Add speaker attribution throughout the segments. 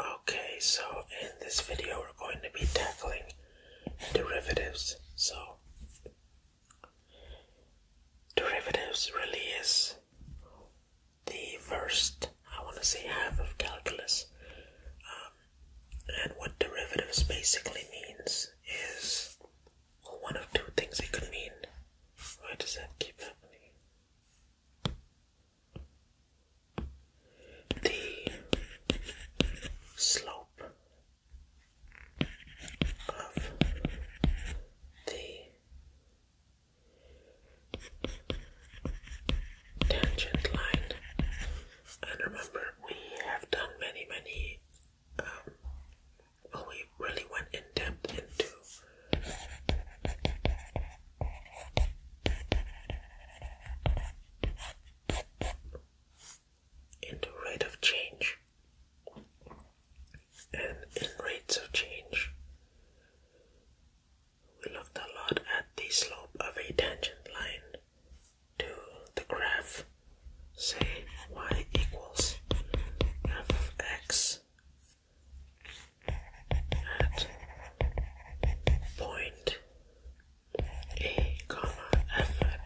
Speaker 1: Okay, so in this video we're going to be tackling derivatives. So, derivatives really is the first, I want to say, half of calculus. Um, and what derivatives basically means is one of two things it could mean. Why does that keep happening? the slope of the tangent line and remember we have done many many um, well we really went in depth into in the rate of change and in rates of change we looked a lot at the slope of a tangent line to the graph say y equals f of x at point A comma F A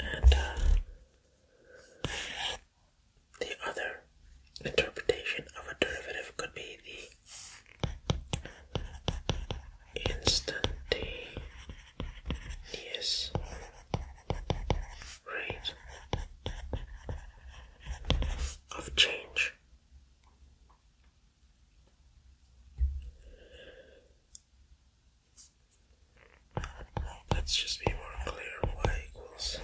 Speaker 1: and uh, the other interpretation of a derivative could be the instantaneous rate of change. Let's just be more clear y equals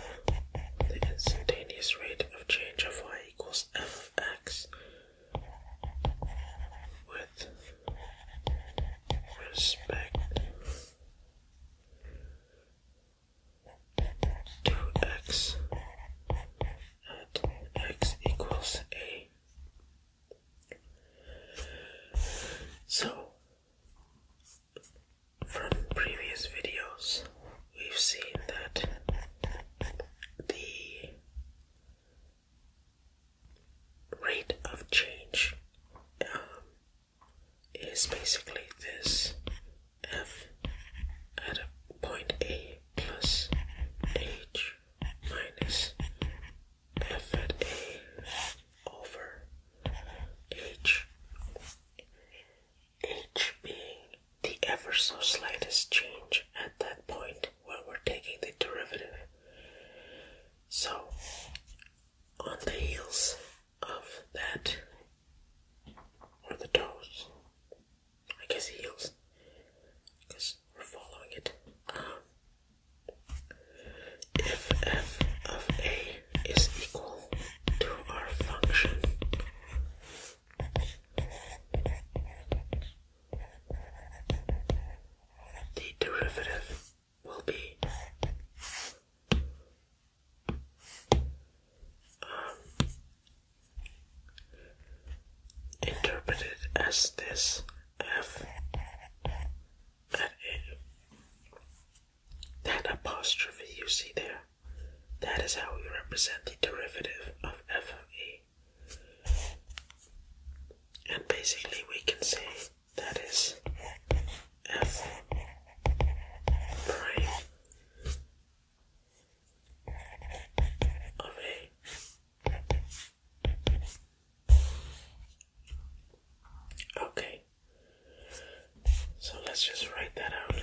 Speaker 1: the instantaneous rate of change of y equals f with respect 2x at x equals a. So, from previous videos, we've seen that the rate of change um, is basically this f at a point A plus h minus f at A over h, h being the ever so slightest change at that point where we're taking the derivative. So, on the heels of that or the toes. I guess heels because we're following it. if um, f of a is equal to our function, the derivative will be interpreted as this F that A. That apostrophe you see there, that is how we represent the derivative of F of E. And basically, we can say that is f prime of a Okay, so let's just write that out.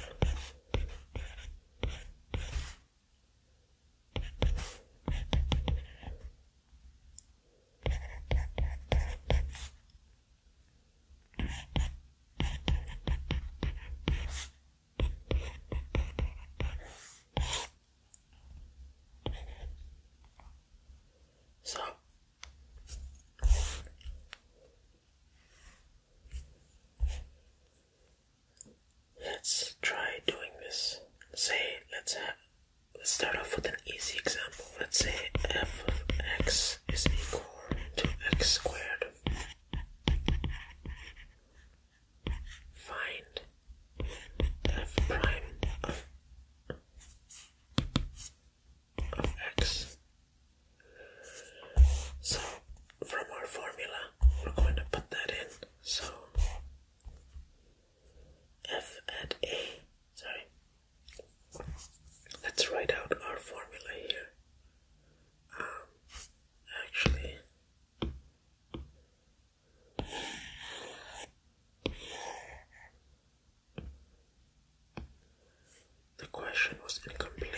Speaker 1: So let's try doing this. Say, let's start off with an easy example. Let's say f of x is equal to x squared. Find f prime of, of x. So from our formula, we're going to put that in. So f at a, sorry, Let's write out our formula here. Um, actually, the question was incomplete.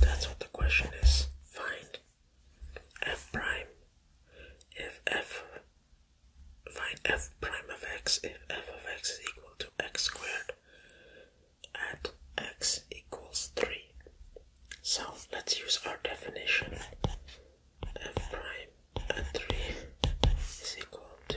Speaker 1: That's what the question is. Find f prime if f find f prime of x if f of x is equal to x squared at x equals 3 so let's use our definition f prime at 3 is equal to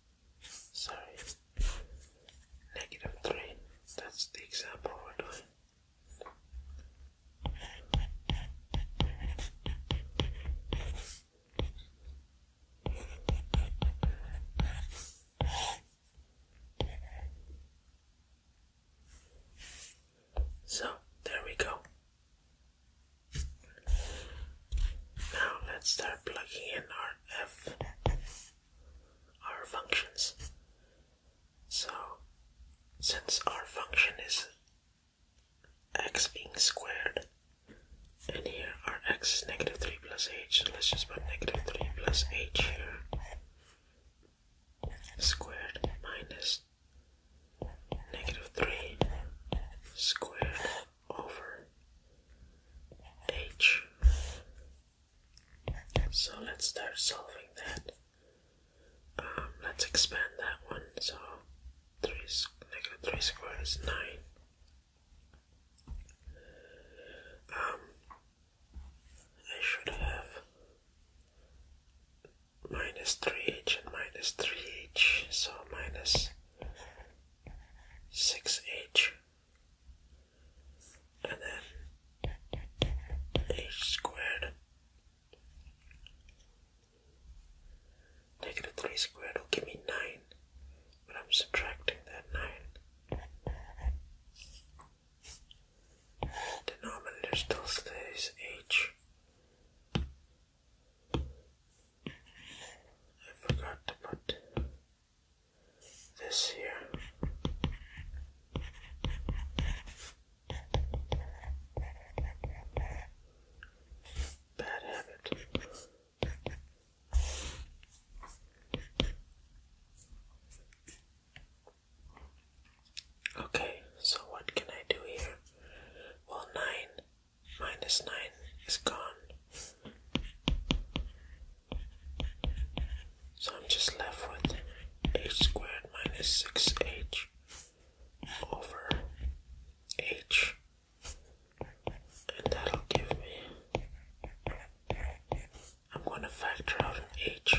Speaker 1: sorry, negative 3. That's the example we're doing. So there we go. Now let's start plugging in our F our functions. So, since our function is x being squared, and here our x is negative 3 plus h, so let's just put negative 3 plus h here, squared minus negative 3 squared over h so let's start solving that. Um, let's expand that one. So 3 negative 3 squared is 9. Um, I should have minus 3h and minus 3h, so minus 6h and then h squared. Negative 3 squared will give me 9, but I'm subtracting that 9. The denominator still stays h. I forgot to put this here. Bad habit. Okay, so what can I do here? Well, 9 minus 9 is gone. So I'm just left with h squared minus 6h over h. And that'll give me. I'm going to factor out an h.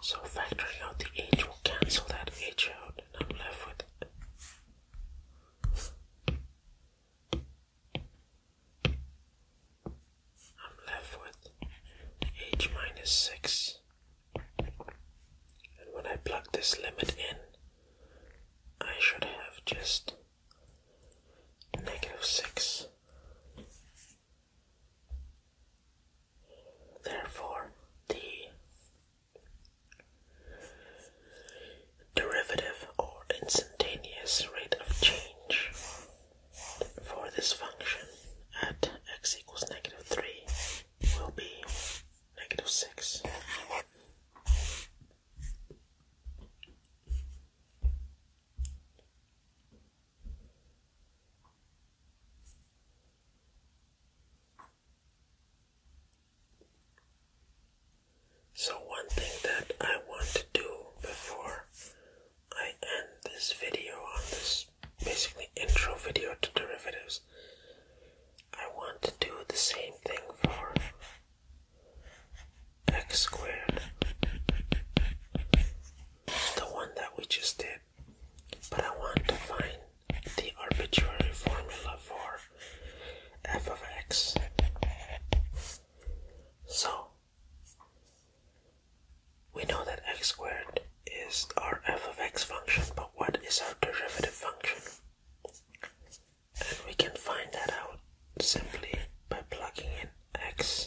Speaker 1: So factoring out the h will cancel that h out, and I'm left with I'm left with h minus six. And when I plug this limit in, I should have just negative 6. Therefore, the derivative or instantaneous rate of change for this function at x equals negative 3 will be negative 6 so one thing that I want to do before I end this video on this basically intro video to derivatives I want to do the same thing for x squared, the one that we just did, but I want to find the arbitrary formula for f of x. So, we know that x squared is our f of x function, but what is our derivative function? and we can find that out simply by plugging in x.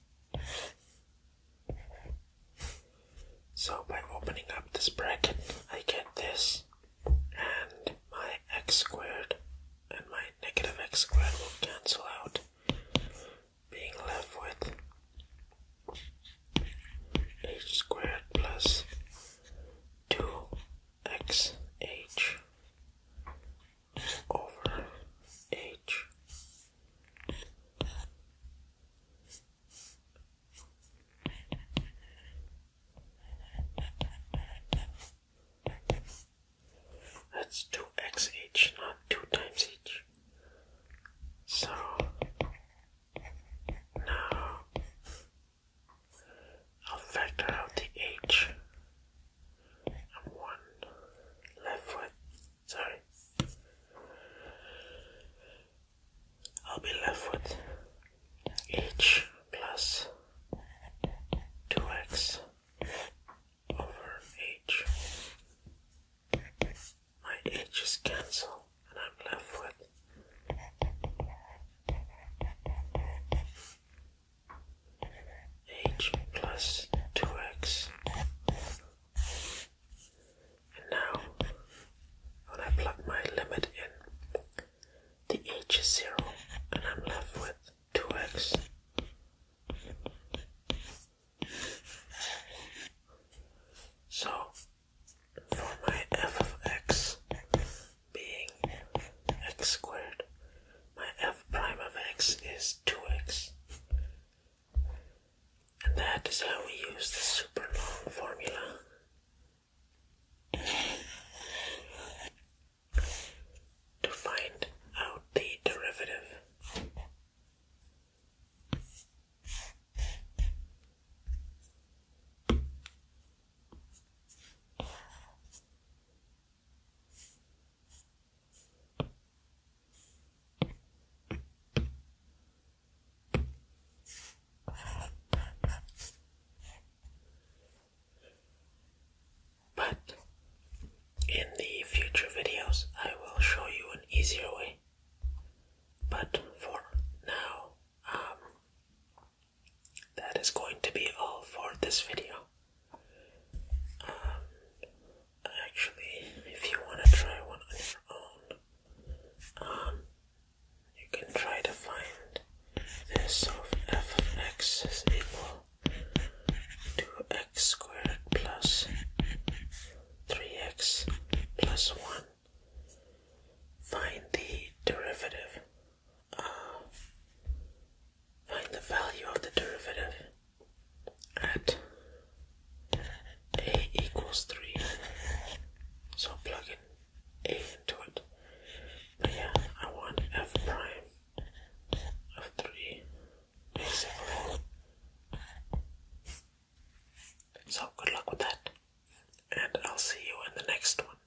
Speaker 1: So by opening up this bracket, I get this, and my x squared and my negative x squared will cancel out, being left with h squared plus 2xh over h that's 2xh, not 2 times h. So now I'll factor out the h and one left foot. Sorry. I'll be left with h plus 2x over h. My h's cancel and I'm left foot h plus 2x. And now, when I plug my limit in, the h is 0 and I'm left with 2x. So, for my f of x being x squared my f prime of x is 2x. And that is how we use the super long formula. To find out the derivative, but in the future videos, I will show you an easier way. But for now, um, that is going to be all for this video actually, if you want to try one on your own, um, you can try to find this of f is equal to x squared plus 3x plus 1. Find the derivative. Uh, find the value of the derivative at a equals 3. So plug in a into it. yeah, I want f prime of 3, basically. So good luck with that, and I'll see you in the next one.